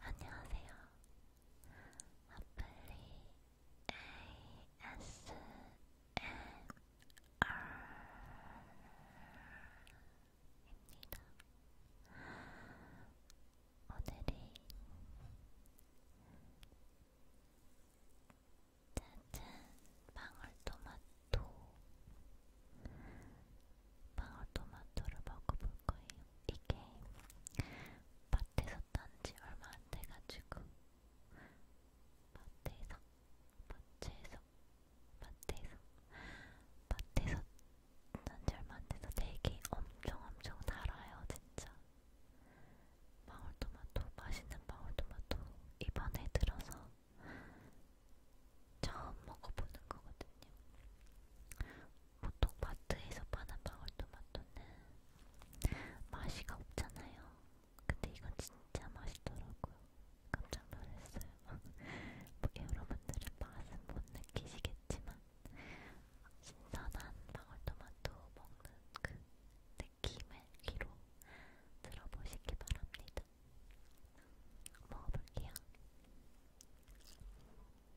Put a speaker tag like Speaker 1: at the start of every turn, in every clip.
Speaker 1: 안녕하세요. 아플리 ASMR입니다. 오늘은 짜잔 방울토마토 방울토마토를 먹어볼 거예요. 이게 밭에서 딴지 얼마 안 돼가지고 밭에서 밭에서 밭에서 밭에서 딴지 얼마 안 돼서 되게 엄청 엄청 달아요 진짜 방울토마토 맛있는 방울토마토 이번에 들어서 처음 먹어보는 거거든요. 보통 마트에서 파는 방울토마토는 맛이가 없잖아요. 근데 이건 진짜 맛있더라고요. 깜짝 놀랐어요. 뭐 여러분들은 맛은 못 느끼시겠지만 신선한 방울토마토 먹는 그 느낌을 귀로 들어보시기 바랍니다. 먹어볼게요.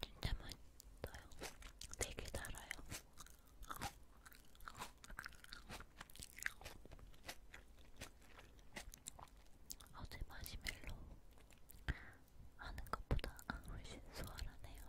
Speaker 1: 진짜 맛있어요. 되게 달아요. 어제 마시멜로 하는 것보다 훨씬 수월하네요.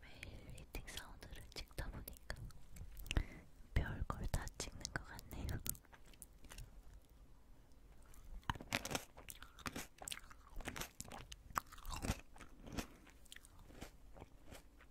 Speaker 1: 매일 리딩 사운드를 찍다 보니까 별 걸 다 찍는 것 같네요.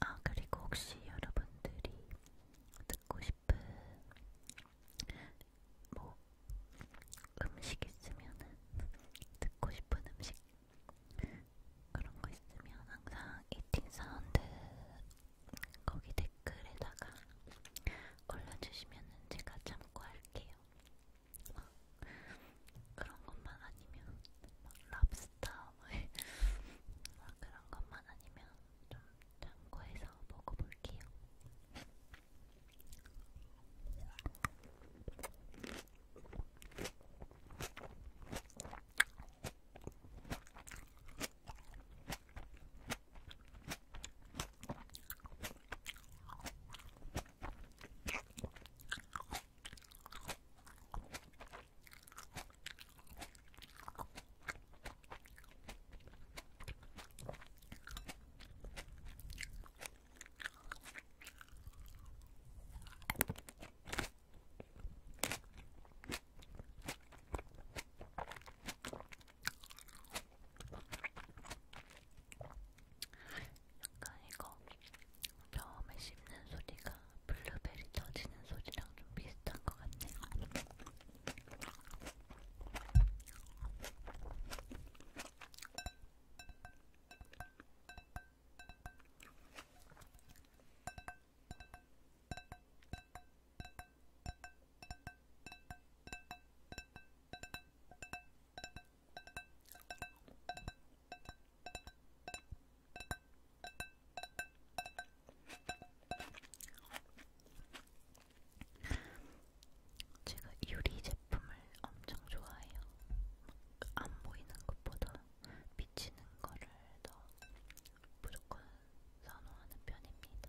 Speaker 1: 아, 그리고 혹시 여러분들이 듣고 싶은 뭐 음식 있으면은 듣고 싶은 음식 그런 거 있으면 항상 이팅 사운드 거기 댓글에다가 올려주시면은 제가 참고할게요. 막 그런 것만 아니면 막 랍스터 그런 것만 아니면 좀 참고해서 먹어볼게요. 약간 이거 처음에 씹는 소리가 블루베리 터지는 소리랑 좀 비슷한 것 같네요. 제가 유리 제품을 엄청 좋아해요. 안 보이는 것보다 비치는 거를 더 무조건 선호하는 편입니다.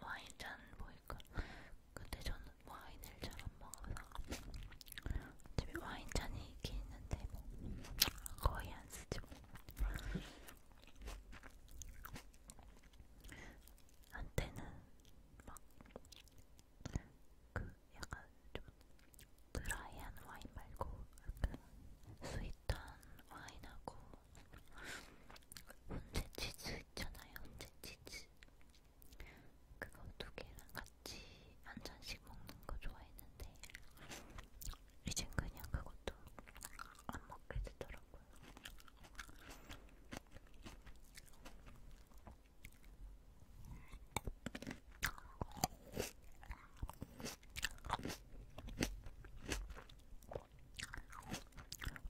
Speaker 1: 와인 잔 보일까? 근데 저는 와인을 잘 안 먹어서 집에 와인 잔이 있긴 있는데 뭐 거의 안 쓰죠. 뭐. 한때는 막 그 약간 좀 드라이한 와인 말고 약간 그 스윗한 와인하고 혼재 치즈 있잖아요, 혼재 치즈. 그거 두 개랑 같이 한 잔씩 먹는 거 좋아했는데, 이젠 그냥 그것도 안 먹게 되더라고요.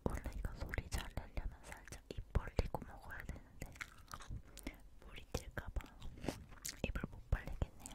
Speaker 1: 원래 이거 소리 잘 내려면 살짝 입 벌리고 먹어야 되는데 물이 튈까봐 입을 못 벌리겠네요.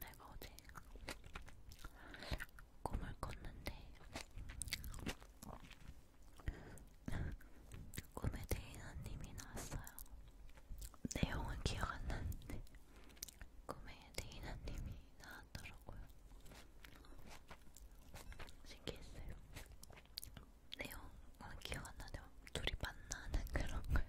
Speaker 2: 내가 어제 꿈을 꿨는데 꿈에 대인아님이 나왔어요. 내용은 기억 안 나는데 꿈에 대인아님이 나왔더라고요. 신기했어요. 내용은 기억 안 나는데 둘이 만나는 그런 거예요.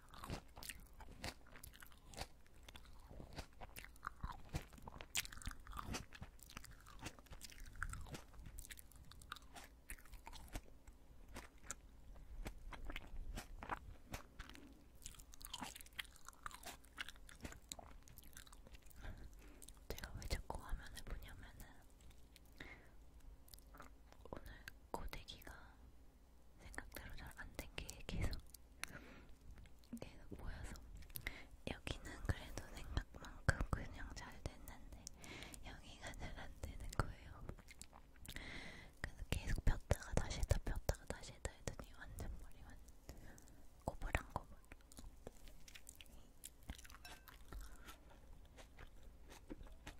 Speaker 2: 제가 왜 자꾸 화면을 보냐면은 오늘 고데기가 생각대로 잘안 된게 계속 계속 모여서 여기는 그래도 생각만큼 그냥 잘 됐는데 여기가 잘 안 되는 거예요. 그래서 계속 폈다가 다시 했다 폈다가 다시 했다 했더니 완전 머리 완전 꼬불랑꼬불.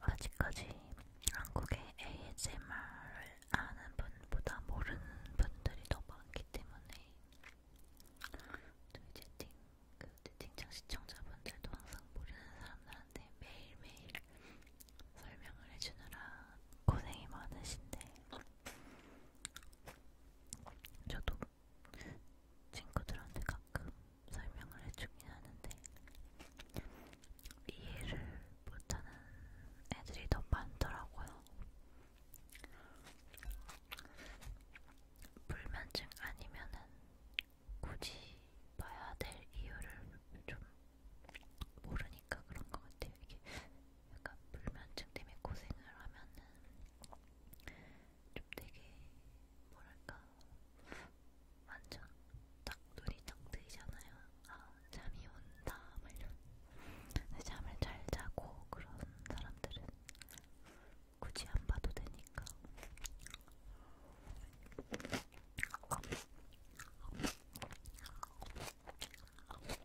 Speaker 2: 아직까지 한국의 ASMR을 아는 분보다 모르는 분들이 더 많기 때문에 또 이제 띵, 그 띵장 시청자분들도 항상 모르는 사람들한테 매일매일 설명을 해주느라 고생이 많으신데 저도 친구들한테 가끔 설명을 해주긴 하는데 이해를 못하는 애들이 더 많더라고요. 불면증 아니면은 굳이 봐야 될 이유를 좀 모르니까 그런 것 같아요. 이게 약간 불면증 때문에 고생을 하면은 좀 되게 뭐랄까 완전 딱 눈이 딱 뜨이잖아요. 아 잠이 온다 막 이런. 잠을 잘 자고 그런 사람들은 굳이 안 봐도 되니까.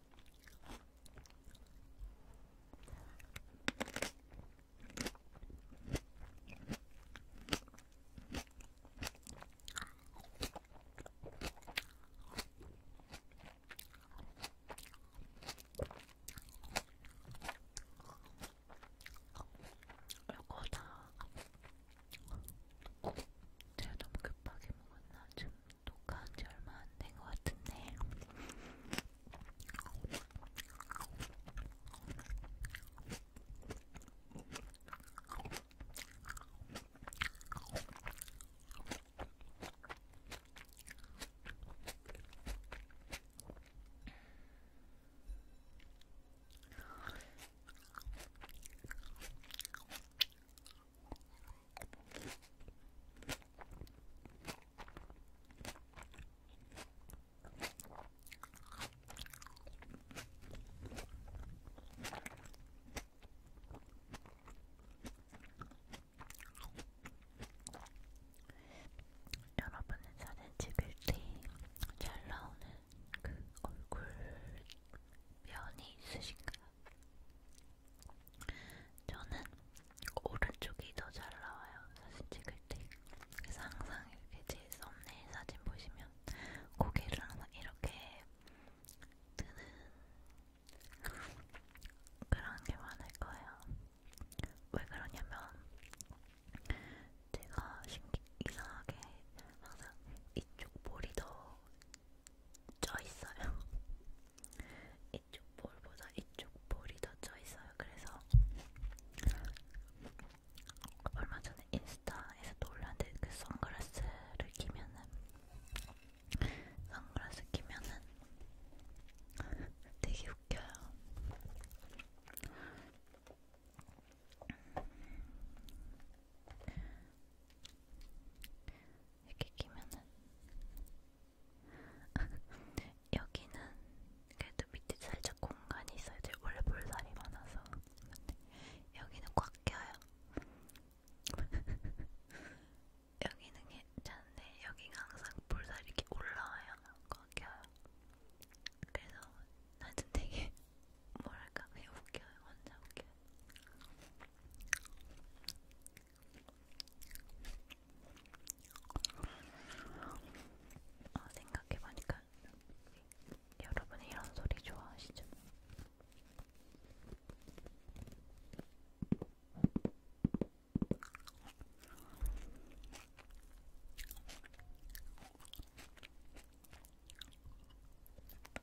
Speaker 3: 이거 다 제가 너무 급하게 먹었나? 좀 녹화한 지 얼마 안된것 같은데 여러분은 사진 찍을 때 잘 나오는 그 얼굴 면이 있으신가요? 저는 오른쪽이 더 잘 나와요. 사진 찍을 때. 그래서 항상 이렇게 제 썸네일 사진 보시면 고개를 항상 이렇게 드는 그런 게 많을 거예요. 왜 그러냐면 제가 신기, 이상하게
Speaker 1: 항상 이쪽 볼이 더 쪄있어요. 이쪽 볼보다 이쪽 볼이 더 쪄있어요. 그래서 얼마 전에 인스타에서 놀랐는데 그 선글라스를 끼면은 선글라스 끼면은 되게 웃겨요. 이렇게 끼면은 여기는 그래도 밑에 살짝 공간이 있어야 돼. 원래 볼살이 많아서 근데 여기는 꽉 껴요. 여기는 괜찮은데 여기가 항상 볼살이 이렇게 올라와요. 꽉 껴요. 그래서 나는 되게 뭐랄까 그냥 웃겨요. 혼자 웃겨. 아, 생각해보니까 여러분 이런 소리 좋아하시죠?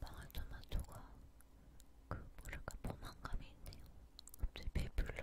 Speaker 1: 방울토마토가 그 뭐랄까 포만감이 있네요. 갑자기 배불러요.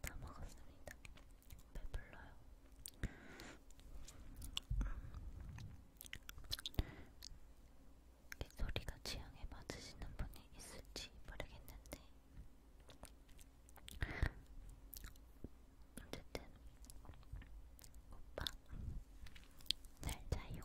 Speaker 1: 다 먹었습니다. 배불러요. 이 소리가 취향에 맞으시는 분이 있을지 모르겠는데 어쨌든 오빠 잘 자요.